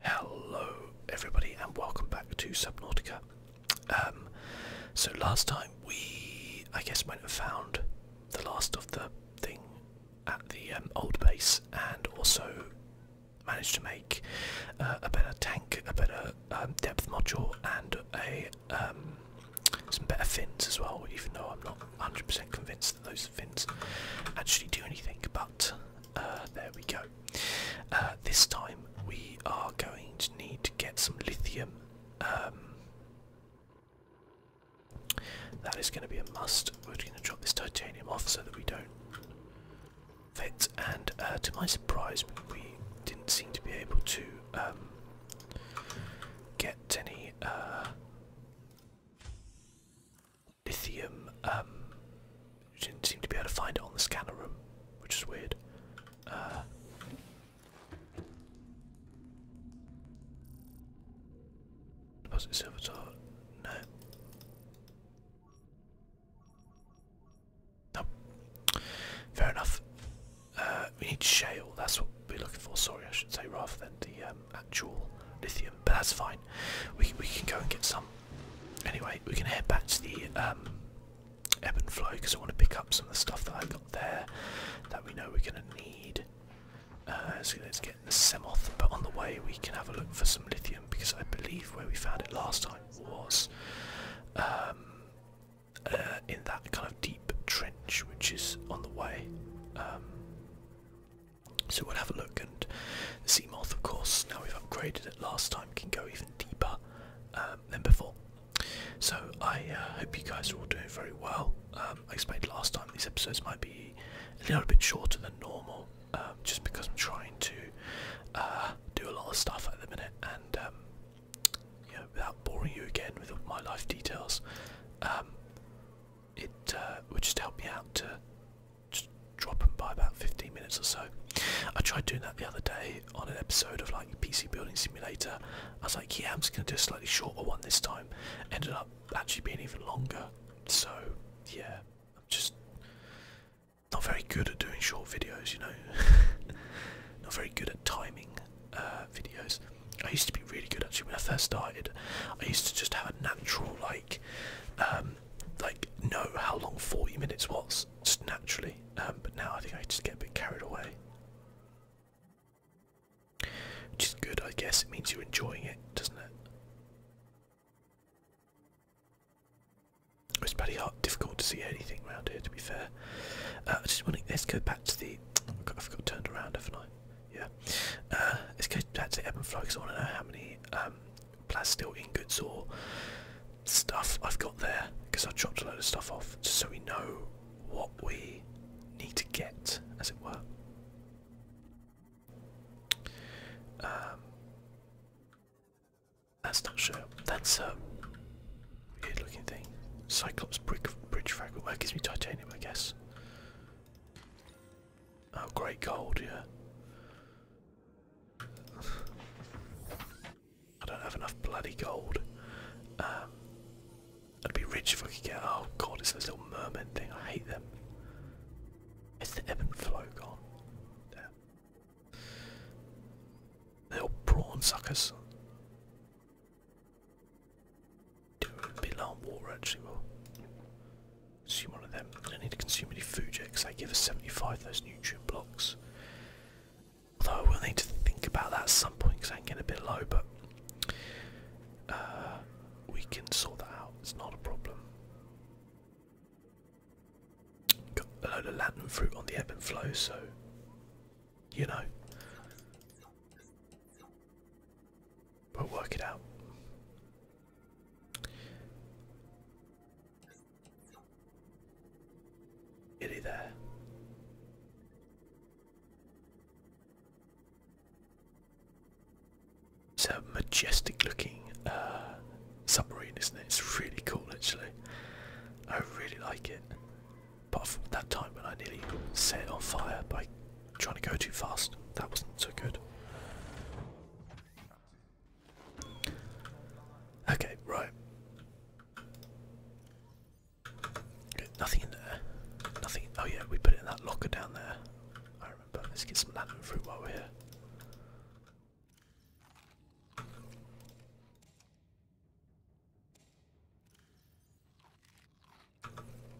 Hello, everybody, and welcome back to Subnautica. Um, so last time we, I guess, went and found the last of the thing at the um, old base, and also managed to make uh, a better tank, a better um, depth module, and some better fins as well. Even though I'm not 100% convinced that those fins actually do anything, but uh, there we go. Uh, this time we are going to need to get some lithium. Um, that is going to be a must. We're going to drop this titanium off so that we don't fit. And uh, to my surprise, we didn't seem to be able to um, get any lithium. Um, didn't seem to be able to find it on the scanner room, which is weird. Uh, deposit servitor. No. No. Fair enough. Uh, we need shale. That's what we're looking for. Sorry, I should say rather than the um, actual lithium, but that's fine. We we can go and get some. Anyway, we can head back to the um, ebb and flow because I want to pick up some of the stuff that I have got there that we know we're going to need. Uh, so let's get the Semoth, but on the way we can have a look for some lithium because I believe where we found it last time was um, uh, in that kind of deep trench which is on the way. Um, so we'll have a look, and the moth, of course, now we've upgraded it last time, can go even deeper um, than before. So I uh, hope you guys are all doing very well. Um, I explained last time these episodes might be a little bit shorter than normal, um, just because I'm trying to uh, do a lot of stuff at the minute, and without boring you again with all my life details, it uh, would just help me out to just drop by about 15 minutes or so. I tried doing that the other day on an episode of like PC Building Simulator. I was like, yeah, I'm just going to do a slightly shorter one this time. Ended up actually being even longer. So, yeah, I'm just not very good at doing short videos, you know. not very good at timing uh, videos. I used to be really good actually when I first started. I used to just have a natural like um, like know how long 40 minutes was just naturally. Um, but now I think I just get a bit carried away, which is good, I guess. It means you're enjoying it, doesn't it? It's pretty hard, difficult to see anything around here. To be fair, uh, I just want to let's go back to the. Oh my God, I've got turned around, haven't I? Yeah. Uh, let's go back to the ebb and flow because I want to know how many um, um, plastil ingots or stuff I've got there because I dropped a load of stuff off just so we know what we need to get, as it were. Um, that's not sure. That's a weird looking thing. Cyclops brick, bridge fragment. That gives me titanium, I guess. Oh, great gold, yeah. I don't have enough bloody gold. Um, I'd be rich if I could get. Oh god, it's those little mermaid thing. I hate them. It's the ebb and flow gone. Yeah. Little prawn suckers. Be long water Consume one of them. I don't need to consume any food yet because they give us 75 those nutrient blocks. Although I will need to think about that at some point because I can get a bit low, but uh, we can sort that out. It's not a problem. Got a load of Latin fruit on the ebb and flow, so you know. We'll work it out. Giddy there. It's a majestic looking uh, submarine, isn't it? It's really cool actually. I really like it. Apart from that time when I nearly set it on fire by trying to go too fast. That wasn't so good. Okay, right. nothing in there. Nothing. Oh yeah, we put it in that locker down there. I remember. Let's get some lantern fruit while we're here.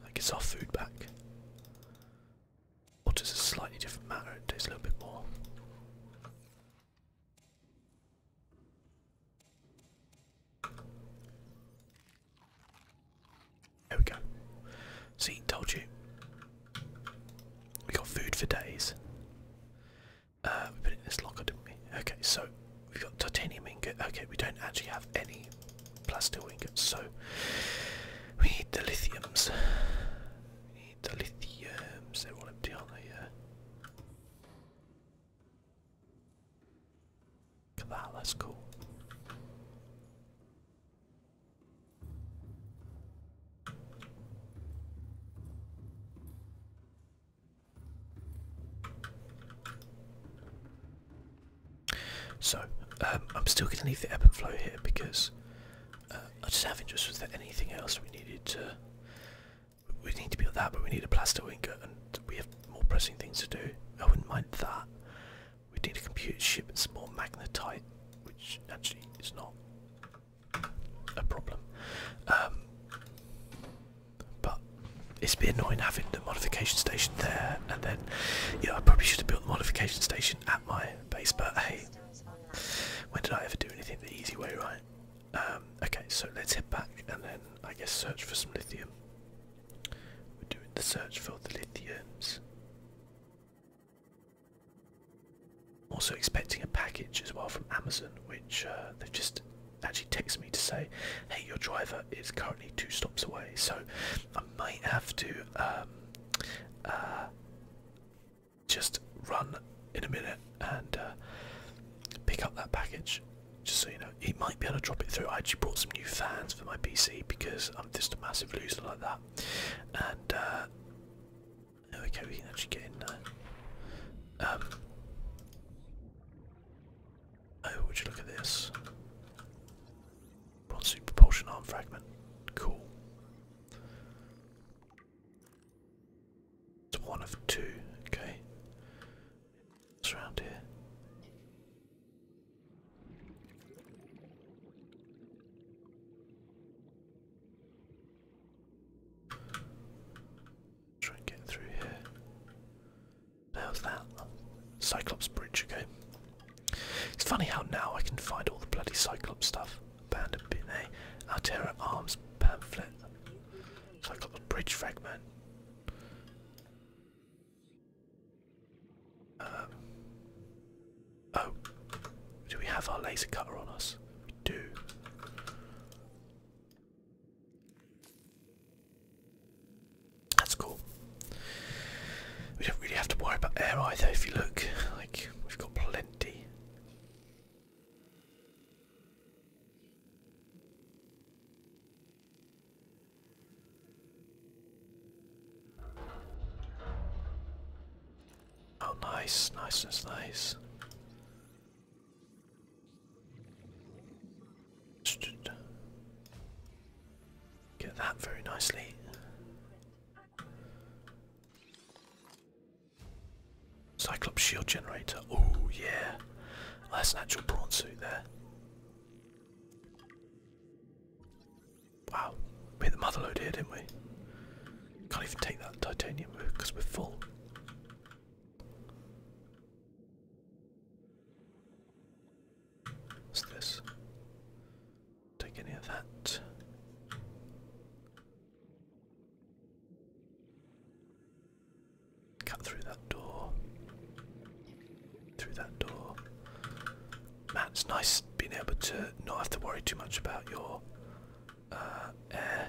That gets our food back. Water's a slightly different matter, it takes a little bit more. There we go. See, told you. We got food for days. Uh, we put it in this locker, didn't we? Okay, so we've got titanium ingot. Okay, we don't actually have any plasteel ingots. So we need the lithiums. We need the lithiums. They're all empty, on not Look at that. That's cool. So um, I'm still going to leave the ebb and flow here because uh, I just have interest. Was there anything else we needed to? We need to build that, but we need a plaster ingot, and we have more pressing things to do. I wouldn't mind that. We need a computer ship and more magnetite, which actually is not a problem. Um, but it's been annoying having the modification station there and then, you I probably should have built the modification station at my base, but hey, when did I ever do anything the easy way, right? Um, okay, so let's head back and then, I guess, search for some lithium. We're doing the search for the lithiums. Also expecting a package as well from Amazon, which uh, they've just actually texted me to say, hey, your driver is currently two stops away, so I might have to um, uh, just run in a minute and uh, pick up that package. Just so you know, He might be able to drop it through. I actually brought some new fans for my PC because I'm just a massive loser like that. And uh, okay, we can actually get in there. Um, oh, would you look at this? Bronze propulsion arm fragment. Cool. It's one of two, okay. What's around here? Try and get through here. Now that Cyclops Bridge, okay. It's funny how now I can find all the bloody Cyclops stuff. Abandoned bin, eh? Altera Arms pamphlet. Cyclops Bridge Fragment. Uh, oh, do we have our laser cutter on us? We do. That's cool. We don't really have to worry about air either if you look. Like, we've got plenty. Oh, nice, nice, nice, nice. Get that very nicely. Cyclops shield generator. Oh yeah. that's an actual prawn suit there. Wow. hit the mother here, didn't we? Can't even take that titanium because we're full. What's Take any of that. Cut through that door. Through that door. Man, it's nice being able to not have to worry too much about your uh, air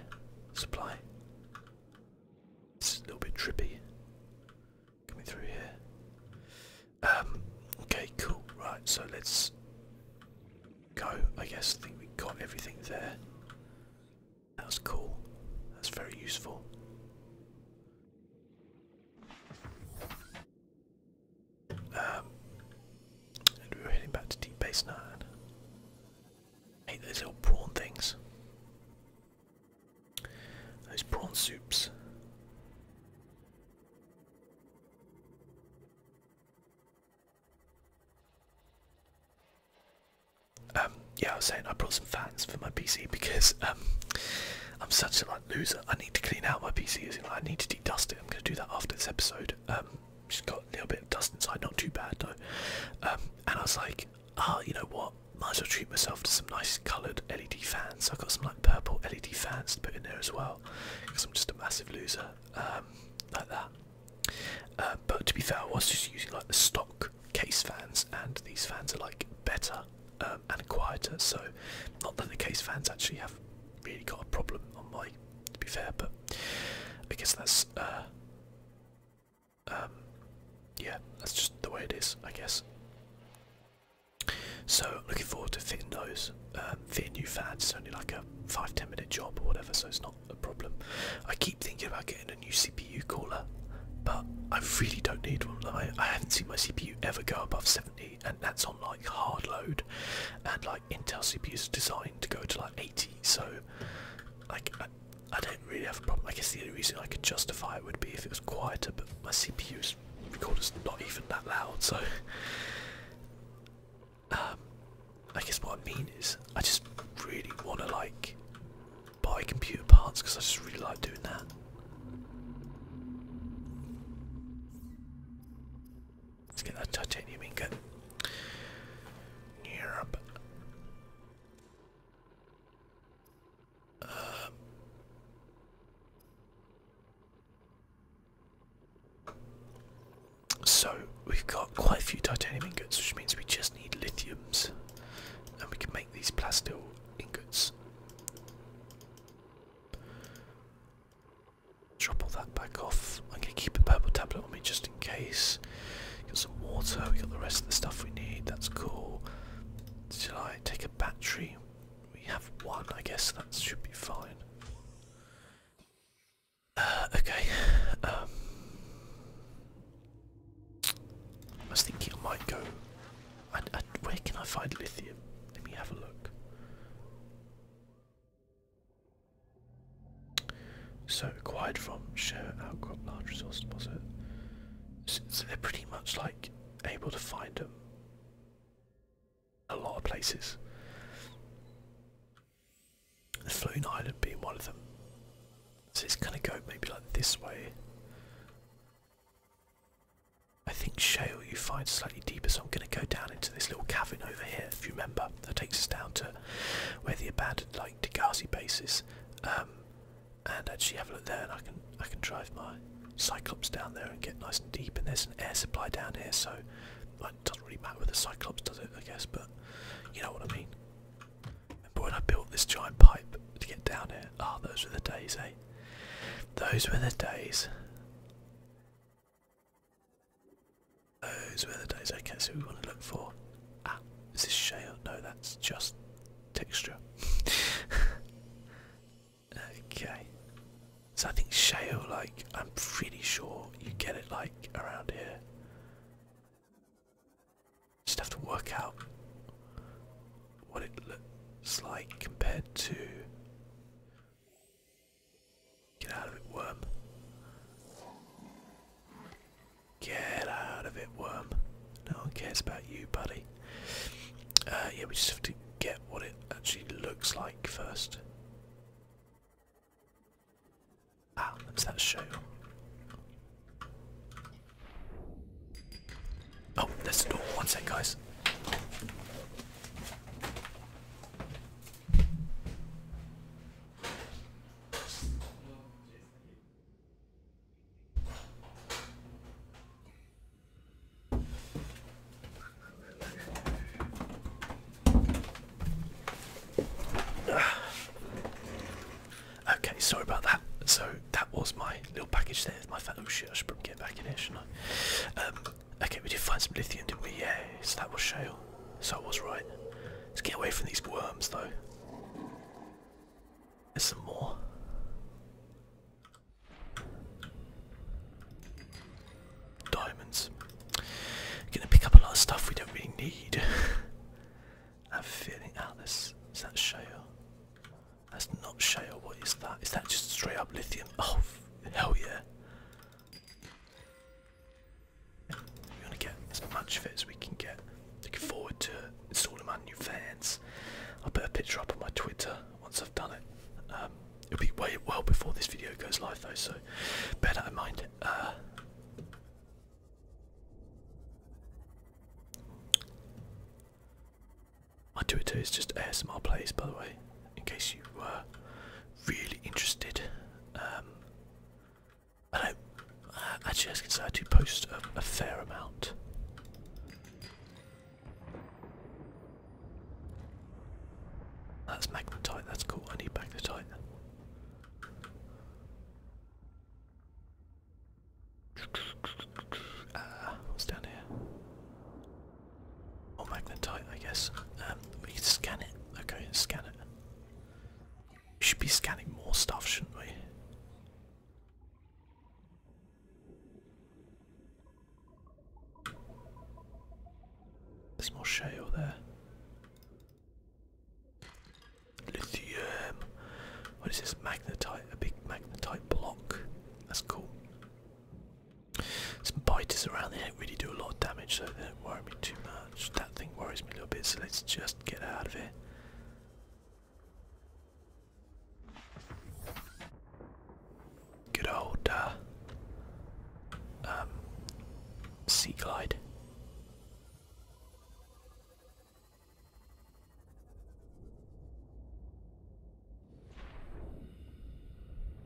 supply. It's a little bit trippy. Coming through here. Um, okay, cool. Right, so let's go. I guess I think we got everything there. That's cool. That's very useful. Um, and we were heading back to Deep Base 9. hate those little prawn things. Those prawn soups. Um, yeah, I was saying I brought some fans for my PC because um, I'm such a like loser. I need to clean out my PC. As in, I need to de-dust it. I'm going to do that after this episode. Um, just got a little bit of dust inside, not too bad though. Um, and I was like, ah, you know what? might as well treat myself to some nice coloured LED fans. I've got some like purple LED fans to put in there as well, because I'm just a massive loser um, like that. Uh, but to be fair, I was just using like the stock case fans, and these fans are like better um, and quieter. So, not that the case fans actually have really got a problem on my. To be fair, but I guess that's. Uh, um, yeah, that's just the way it is, I guess. So looking forward to fitting those, um, fitting new fads. It's only like a five ten minute job or whatever, so it's not a problem. I keep thinking about getting a new CPU cooler, but I really don't need one. I, haven't seen my CPU ever go above seventy, and that's on like hard load, and like Intel CPUs are designed to go to like eighty. So like I, I don't really have a problem. I guess the only reason I could justify it would be if it was quieter, but my CPU is recorder's not even that loud, so um, I guess what I mean is I just really want to like buy computer parts because I just really like doing that. Let's get that titanium ingot. Europe. Um, so we've got quite a few titanium ingots, which means we just need lithiums, and we can make these plastil ingots. Drop all that back off. I'm gonna keep a purple tablet on me just in case. Got some water. We got the rest of the stuff we need. That's cool. Shall I take a battery? we have one, I guess that should be fine. Uh, okay. Um, I was thinking I might go. where can I find lithium? Let me have a look. So acquired from share outcrop large resource deposit. so they're pretty much like able to find them a lot of places. The Floating Island being one of them. So it's gonna go maybe like this way. I think shale you find slightly deeper, so I'm gonna go down into this little cavern over here, if you remember. That takes us down to where the abandoned like Degazi base is. Um, and actually have a look there and I can I can drive my Cyclops down there and get nice and deep and there's an air supply down here so it doesn't really matter with the Cyclops does it I guess but you know what I mean. Remember when I built this giant pipe to get down here? Ah those were the days eh? Those were the days. Those were the days. Okay, so we want to look for. Ah, is this shale? No, that's just texture. Okay. So I think shale, like, I'm pretty sure you get it, like, around here. Just have to work out what it looks like compared to. Get out of it, worm. Get out of it, worm. No one cares about you, buddy. Uh, yeah, we just have to get what it actually looks like first. Ah, that's that show. Oh, there's the door. One sec, guys. Okay, sorry about that. So that was my little package there my fellow oh, shit. I should probably get back in here, shouldn't I? Um, okay, we did find some lithium, didn't we? Yeah, so that was shale. So I was right. Let's get away from these worms, though. There's some more. Diamonds. Gonna pick up a lot of stuff we don't really need. I'm feeling out this. Is that shale? That's not shale. What is that? Is that just straight up lithium? Oh, hell yeah. We want to get as much of it as we can get. Looking forward to installing my new fans. I'll put a picture up on my Twitter once I've done it. Um, it'll be way well before this video goes live though, so better that in mind. Uh, my Twitter is just ASMR plays, by the way, in case you were really interested. Um, I don't. Uh, actually, I was to do post a fair amount that's magnetite, that's cool, I need magnetite. Uh, what's down here? Or magnetite, I guess. Um, we can scan it. Okay, scan it. We should be scanning more stuff, shouldn't we? There's more shale there. Lithium. What is this? Magnetite. A big magnetite block. That's cool. Some biters around. They don't really do a lot of damage, so they don't worry me too much. That thing worries me a little bit, so let's just get out of here. Good old uh, um, sea glide.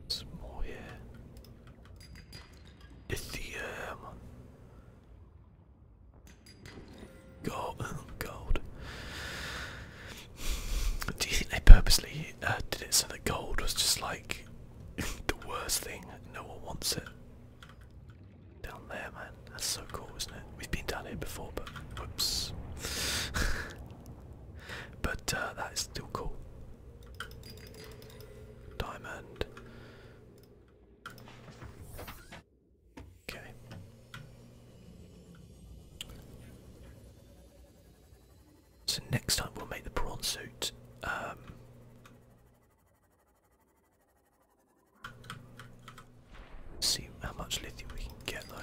Some more here. Lithium. Gold, Do you think they purposely uh, did it so that gold was just like the worst thing? No one wants it. Down there, man. That's so cool, isn't it? We've been down here before, but whoops. but uh, that is still cool. Diamond. Okay. So next time we'll make the prawn suit. Um, see how much lithium we can get though.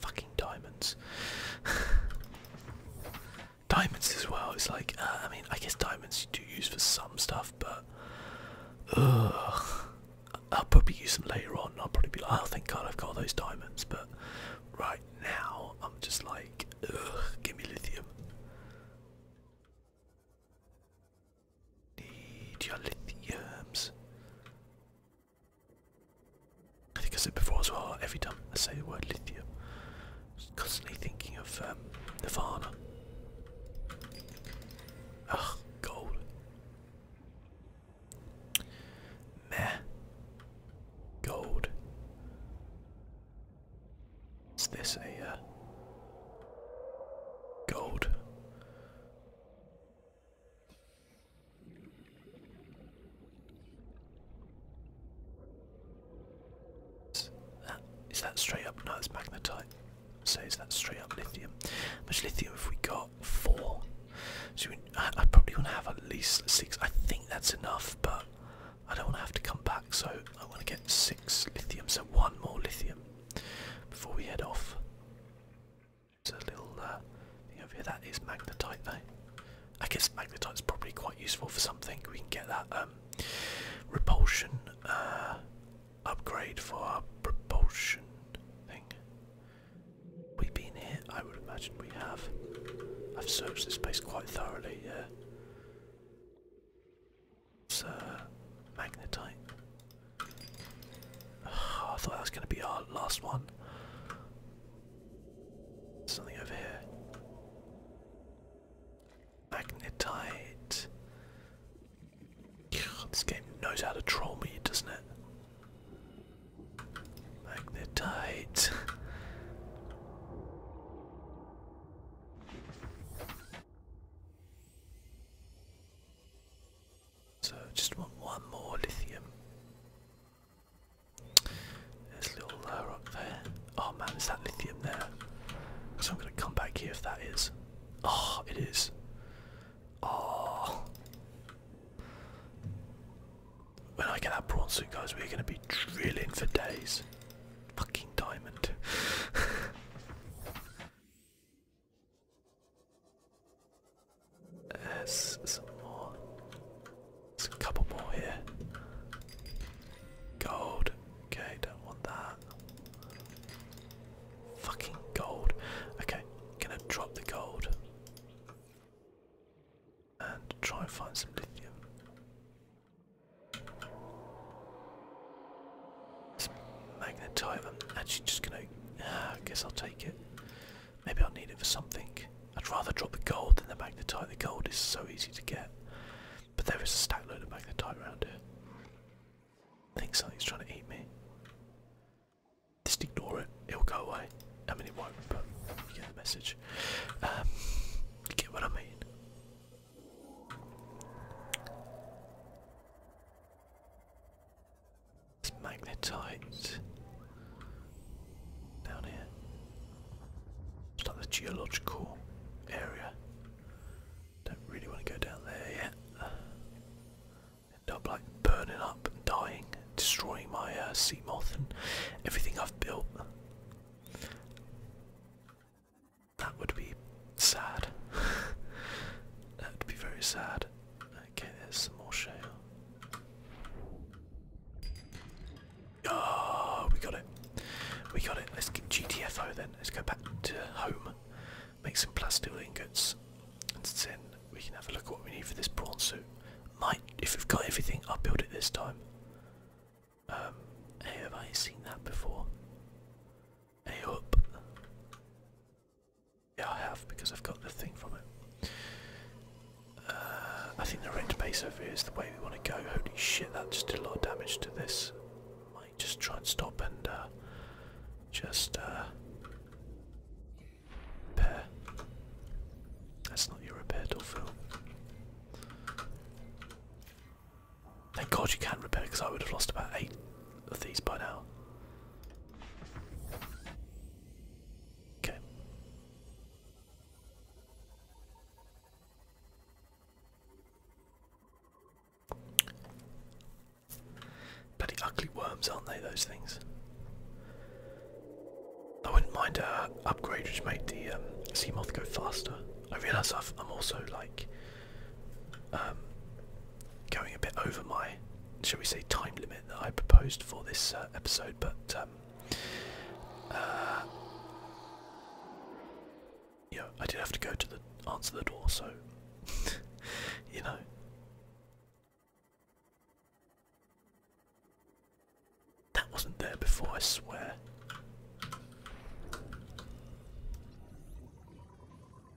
Fucking diamonds. diamonds as well. It's like, uh, I mean, I guess diamonds do use for some stuff, but ugh. I'll probably use them later on. I'll probably be like, oh, thank God I've got those diamonds. But right now, I'm just like, ugh, give me lithium. Need your lithiums. I think I said before as well, every time I say the word lithium, I'm constantly thinking of um, Nirvana. Ugh, gold. Meh. Gold. Is this a uh, gold? Is that, is that straight up? No, it's magnetite. So it's that straight up lithium? How much lithium have we got? Four. So I, probably want to have at least six. I think that's enough, but I don't want to have to come back. So I want to get six lithium. So one more lithium before we head off. It's a little uh, thing over here. That is magnetite, though. I guess magnetite is probably quite useful for something. We can get that um, repulsion. Uh, upgrade for our propulsion thing. We've been here, I would imagine we have. I've searched this place quite thoroughly, yeah. It's uh, magnetite. Ah, I thought that was going to be our last one. Something over here. Magnetite. This game knows how to troll me, doesn't it? Magnetite. so just want one more lithium. There's a little layer uh, up there. Oh man, is that lithium there? So I'm gonna come back here if that is. Oh, it is. Oh. When I get that prawn suit, guys, we're going to be drilling for days. Fucking diamond. There's some more. There's a couple more here. Gold. Okay, don't want that. Fucking gold. Okay, gonna drop the gold and try and find some lithium. Some magnetite. I'm actually just gonna. Uh, I guess I'll take it. Maybe I'll need it for something. I'd rather drop the gold than the magnetite. The gold is so easy to get. But there is a stack load of magnetite around here think something's trying to eat me. Just ignore it, it'll go away. I mean, it won't, but you get the message. Um, you get what I mean? It's magnetite down here. It's like the geological area. Don't really want to go down there yet. End up like burning up and dying, destroying my uh, moth and everything I've built. That would be sad. that would be very sad. Okay, there's some more shale. Oh, we got it. We got it. Let's get GTFO then. Let's go back to home. Make some plus ingots. And then we can have a look at what we need for this prawn suit. Might, if we've got everything, I'll build it this time. Um, have I seen that before? Hey up. Yeah, I have because I've got the thing from it. Uh, I think the rent base over here is the way we want to go. Holy shit, that just did a lot of damage to this just try and stop and uh, just uh, repair. That's not your repair door, Phil. Thank God you can not repair because I would have lost about eight of these by now. Okay. Bloody ugly worms, aren't they, those things? I wouldn't mind a upgrade which made the um, moth go faster. I realise I'm also like um, going a bit over my, shall we say, time limit that I proposed for this uh, episode, but um, uh, yeah, I did have to go to the answer the door, so you know. That wasn't there before, I swear.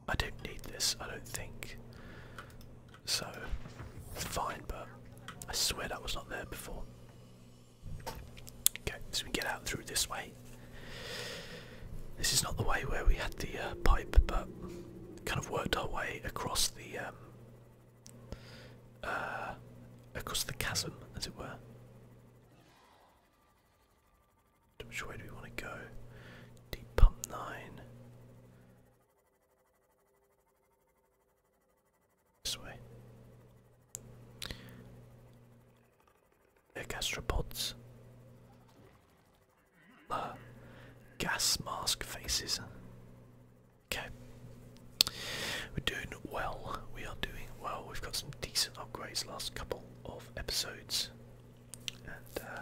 I don't need this, I don't think. So, fine, but I swear that was not there before. Okay, so we get out through this way. This is not the way where we had the uh, pipe, but kind of worked our way across the um, uh, across the chasm, as it were. Which way do we want to go? Deep pump nine. This way. They're gastropods. Uh, gas mask faces. Okay. We're doing well. We are doing well. We've got some decent upgrades last couple of episodes. And, uh,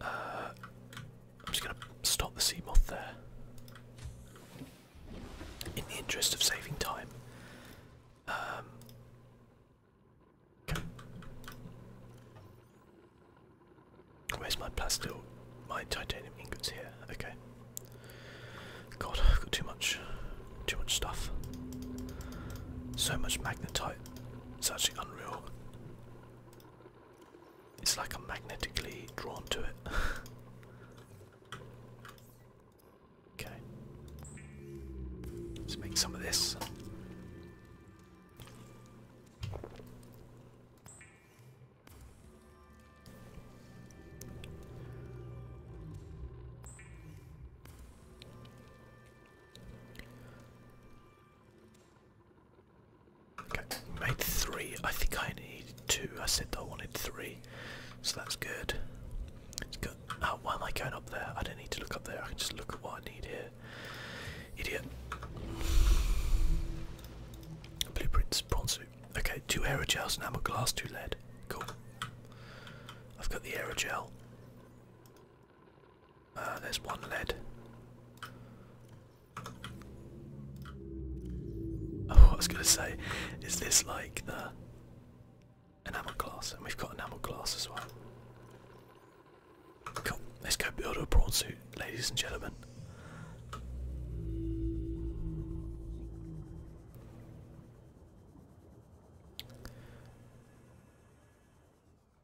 Uh, I'm just going to stop the sea moth there. In the interest of saving time. Um, where's my plastic? My titanium ingots here. Okay. God, I've got too much, too much stuff. So much magnetite. It's actually unreal. It's like I'm magnetically drawn to it. okay. Let's make some of this. Okay, made three. I think I need two. I said I wanted three, so that's good. It's good. Oh, uh, why am I going up there? I don't need to look up there. I can just look at what I need here. Idiot. Blueprints, bronze suit. Okay, two aerogels, enamel glass, two lead. Cool. I've got the aerogel. Uh, there's one lead. Oh, I was gonna say, is this like the enamel glass? And we've got enamel glass as well. Cool. Let's go build a prawn suit, ladies and gentlemen.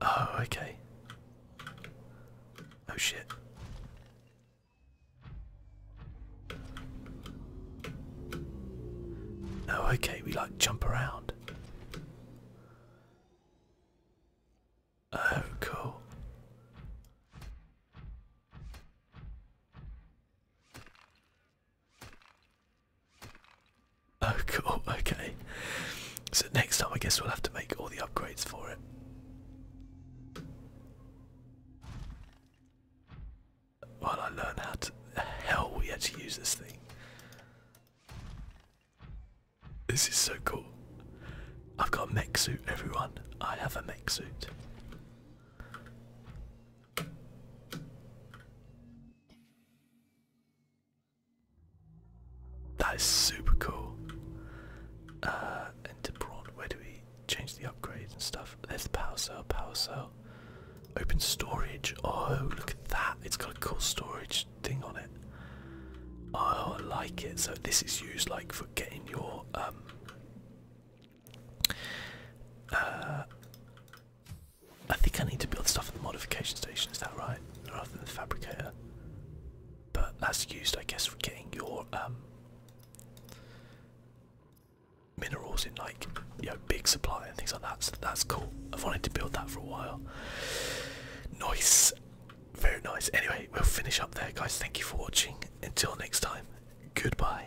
Oh, okay. Oh shit. Oh, okay, we like jump around. Oh, cool. Oh cool, okay. So next time I guess we'll have to make all the upgrades for it. While I learn how to the hell we actually use this thing. This is so cool. I've got a mech suit, everyone. I have a mech suit. That is super cool. Uh, into Brawn, where do we change the upgrades and stuff? There's the power cell, power cell. Open storage. Oh, look at that. It's got a cool storage thing on it. Oh, I like it. So this is used like for getting your um, uh, I think I need to build stuff at the modification station, is that right? Rather than the fabricator. But that's used, I guess, for getting your um, minerals in like you know big supply and things like that. So that's cool. I've wanted to build that for a while. Nice, very nice. Anyway, we'll finish up there, guys. Thank you for watching. Until next time, goodbye.